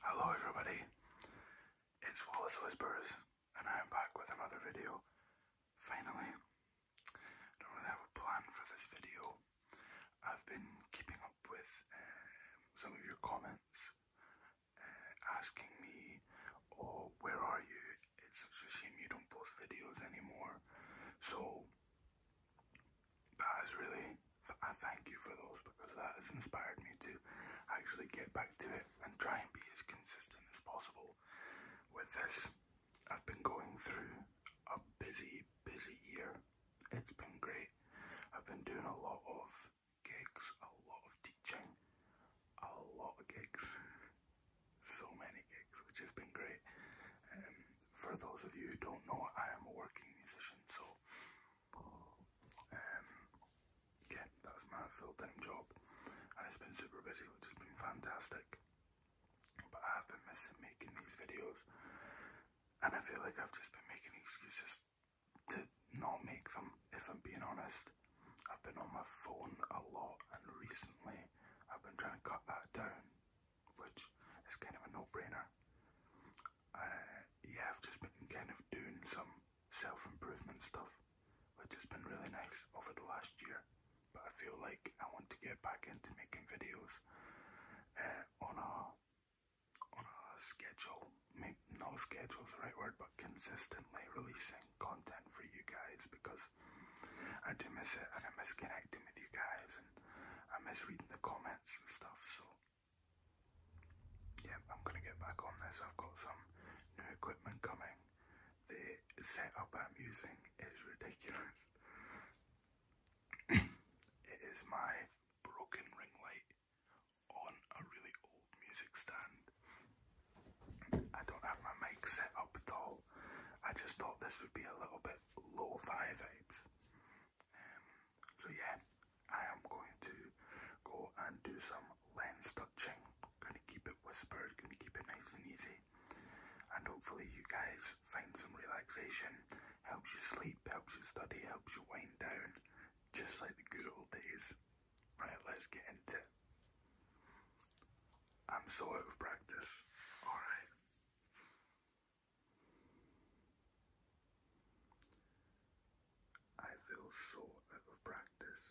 Hello everybody, it's Wallace Whispers and I am back with another video. Finally, I don't really have a plan for this video. I've been keeping up with um, some of your comments uh, asking me, oh, where are you? It's such a shame you don't post videos anymore. So that is really, I thank you for those because that has inspired me to actually get back to it and try and be as consistent as possible with this. I've been going through a busy, busy year. It's been great. I've been doing a lot of gigs, a lot of teaching, a lot of gigs, so many gigs, which has been great. Um, for those of you who don't know, I am a working musician, so um, yeah, that's my full-time job, and it's been super busy, which has been fantastic. But I have been missing making these videos, and I feel like I've just been making excuses to not make them. If I'm being honest, I've been on my phone a lot, and recently I've been trying to cut that down which is kind of a no-brainer. Uh, yeah, I've just been kind of doing some self-improvement stuff, which has been really nice over the last year. But I feel like I want to get back into making videos uh, on a on a schedule. Maybe not schedule's the right word, but consistently releasing content for you guys because I do miss it I miss connecting with you guys and I miss reading the comments and stuff. So, yeah, I'm gonna get back on this. I've got some new equipment coming. The setup I'm using is ridiculous. it is my broken ring light on a really old music stand. I don't have my mic set up at all. I just thought this would be a little bit low five vibes. Um, so yeah, I am going to go and do some lens touching. Gonna keep it whispered, gonna keep it nice and easy. And hopefully you guys find some relaxation, helps you sleep, helps you study, helps you wind down, just like the good old days. Right, let's get into I'm so out of practice. Alright. I feel so out of practice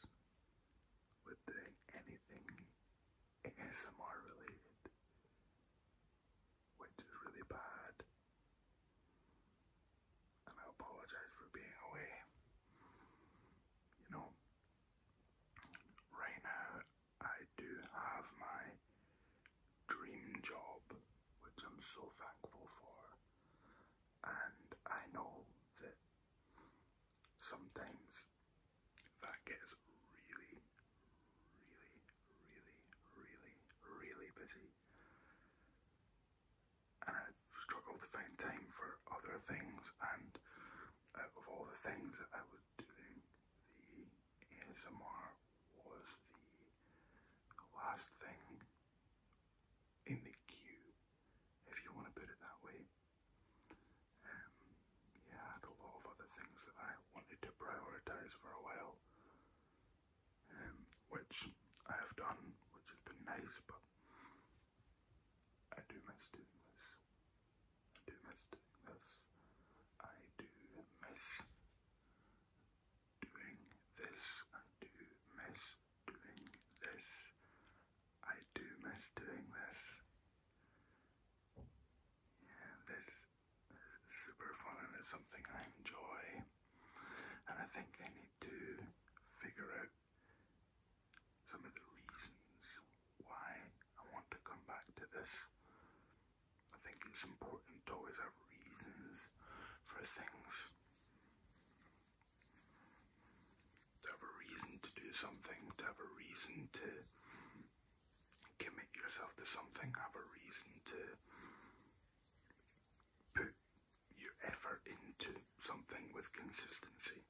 with doing anything ASMR related, which is really bad. And I apologize for being away. You know, right now I do have my dream job, which I'm so thankful for, and I know that sometimes that gets really, really, really, really, really busy. And I struggle to find time for other things, and out of all the things that I was doing, the ASMR was the last thing in the queue, if you want to put it that way. I had a lot of other things that I wanted to prioritise for a while, um, which I have done, which has been nice, but I do miss doing this. I do miss doing this. I do miss doing this. I do miss doing this. I do miss doing this. this is super fun and it's something I enjoy. And I think I need to figure out some of the reasons why I want to come back to this. I think it's important to always have reasons for things. To have a reason to do something, to have a reason to commit yourself to something, have a reason to put your effort into something with consistency.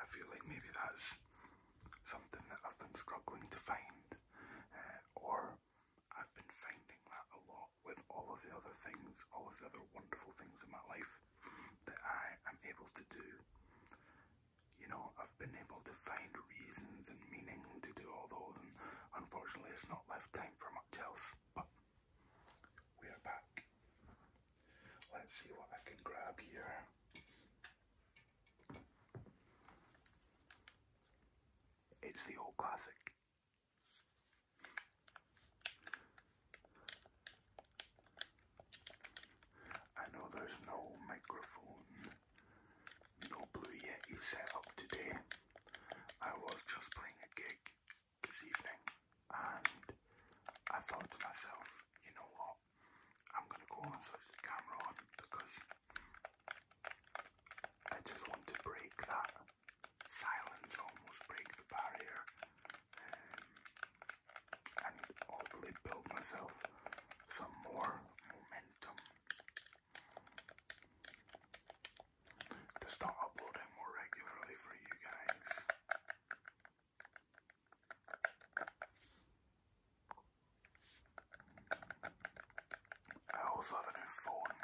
I feel like maybe that's something that I've been struggling to find uh, or I've been finding that a lot with all of the other things, all of the other wonderful things in my life that I am able to do. You know, I've been able to find reasons and meaning to do all those, and unfortunately, it's not left time for myself, But we are back. Let's see what I can grab here. It's the old classic. I know there's no microphone, no Blue Yeti set up today. I was just playing a gig this evening and I thought to myself, you know what? I'm gonna go and switch the camera on because I just want to break that silence, almost break the barrier, um, and hopefully build myself some more momentum to start uploading more regularly for you guys. I also have a new phone,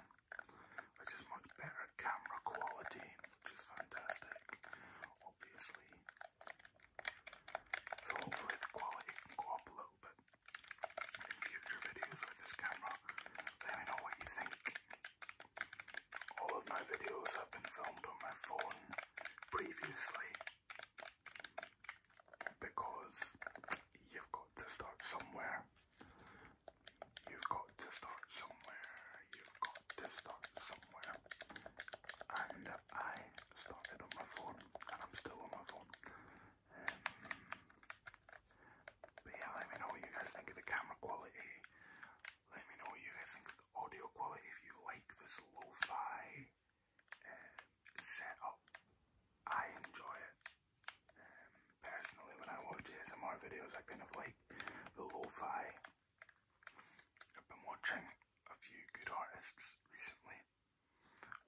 which is much better camera quality, which is fantastic, obviously. So hopefully the quality can go up a little bit in future videos with this camera. Let me know what you think. All of my videos have been filmed on my phone previously because you've got to start somewhere. You've got to start somewhere. You've got to start somewhere. And I started on my phone, and I'm still on my phone. Um, but yeah, let me know what you guys think of the camera quality. Let me know what you guys think of the audio quality. If you like this lo um, I enjoy it um, personally when I watch ASMR videos. I kind of like the lo-fi. I've been watching a few good artists recently.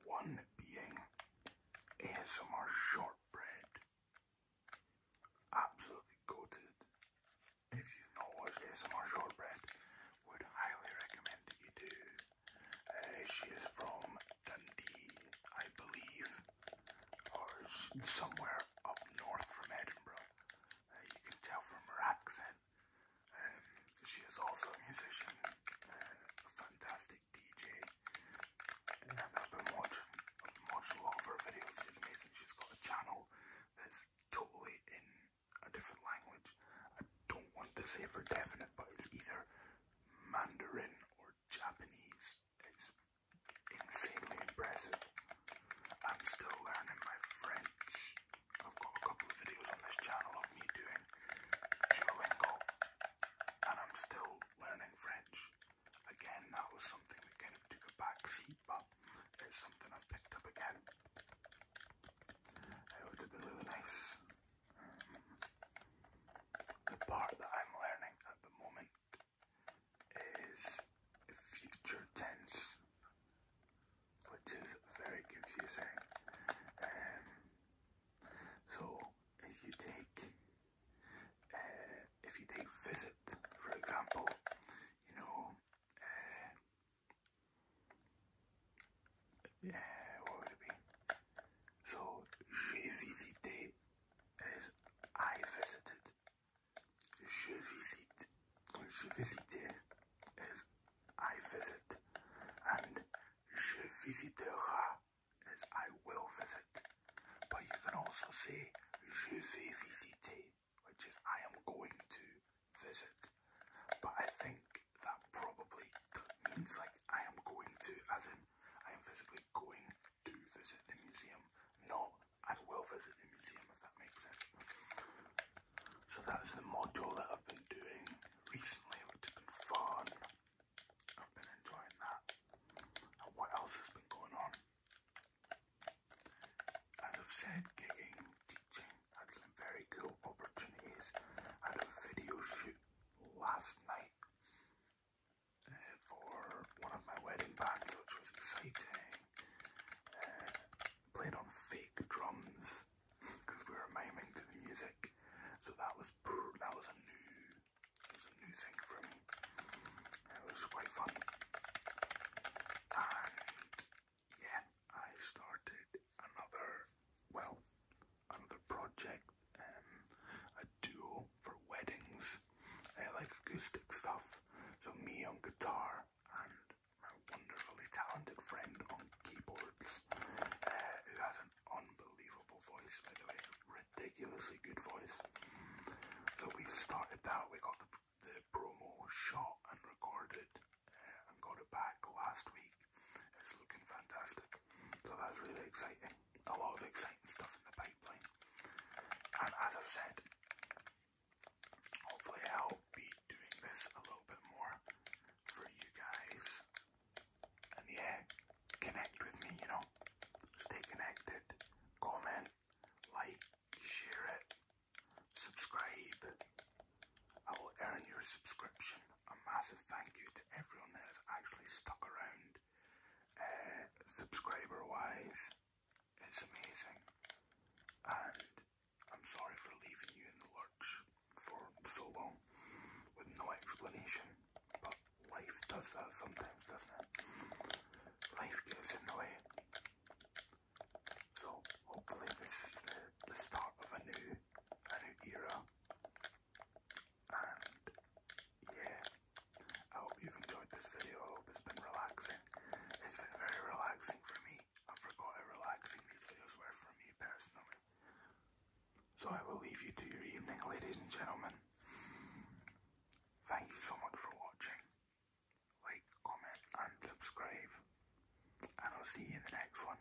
One being ASMR Shortbread. Absolutely goated. If you've not watched ASMR Shortbread, would highly recommend that you do. Uh, she is from Dundee, I believe, or somewhere up north from Edinburgh. Uh, you can tell from her accent. Um, she is also a musician, uh, a fantastic DJ, I've been watching, watching a of her videos. She's amazing. She's got a channel that's totally in a different language. I don't want to say for definite, but it's either Mandarin or Japanese. is insanely impressive. I'm still learning my French. I've got a couple of videos on this channel of me doing Duolingo, and I'm still learning French. Again, that was something that kind of took a back but it's something i picked up again. It would have been really nice the part that I'm learning at the moment is future tense, which is very confusing. Um, so, if you take, uh, if you take visit, for example, you know, uh, so, j'ai visité is I visited. Je visite. Je visiter is I visit. And je visitera is I will visit. But you can also say je vais visiter, which is I am going to visit. But I think that probably means like I am going to, as I am physically going to visit the museum, not I will visit the museum, if that makes sense. So that's the module that I've been doing recently, it has been fun. I've been enjoying that. what else has been going on? As I've said, gigging, teaching, had some very cool opportunities. had a video shoot last night eh, for one of my wedding bands, which was exciting. Eh, played on fake drums because we were miming to the music, so that was that was a new it was a new thing for me. It was quite fun, and yeah, I started another, well, another project, um, a duo for weddings. I like acoustic stuff, so me on guitar and my wonderfully talented friend on keyboards, uh, who has an unbelievable voice, by the way, ridiculously good voice. So we have started that, we got the, the promo shot and recorded uh, and got it back last week. It's looking fantastic. So that's really exciting. A lot of exciting stuff in the pipeline. And as I've said, hopefully I'll be doing this a little bit more for you guys. And yeah, connect with me, you know. Stay connected. Comment, like, share it, subscribe. I will earn your subscription a massive thank you to everyone that has actually stuck around uh, subscriber wise. It's amazing. And I'm sorry for leaving you in the lurch for so long with no explanation. But life does that sometimes, doesn't it? Life gets in the way. So hopefully this is the, the start of a new a new era and yeah, I hope you've enjoyed this video. I hope it's been relaxing. It's been very relaxing for me. I forgot how relaxing these videos were for me personally. So I will leave you to your evening, ladies and gentlemen. Thank you so much for watching. Like, comment, and subscribe. And I'll see you in the next one.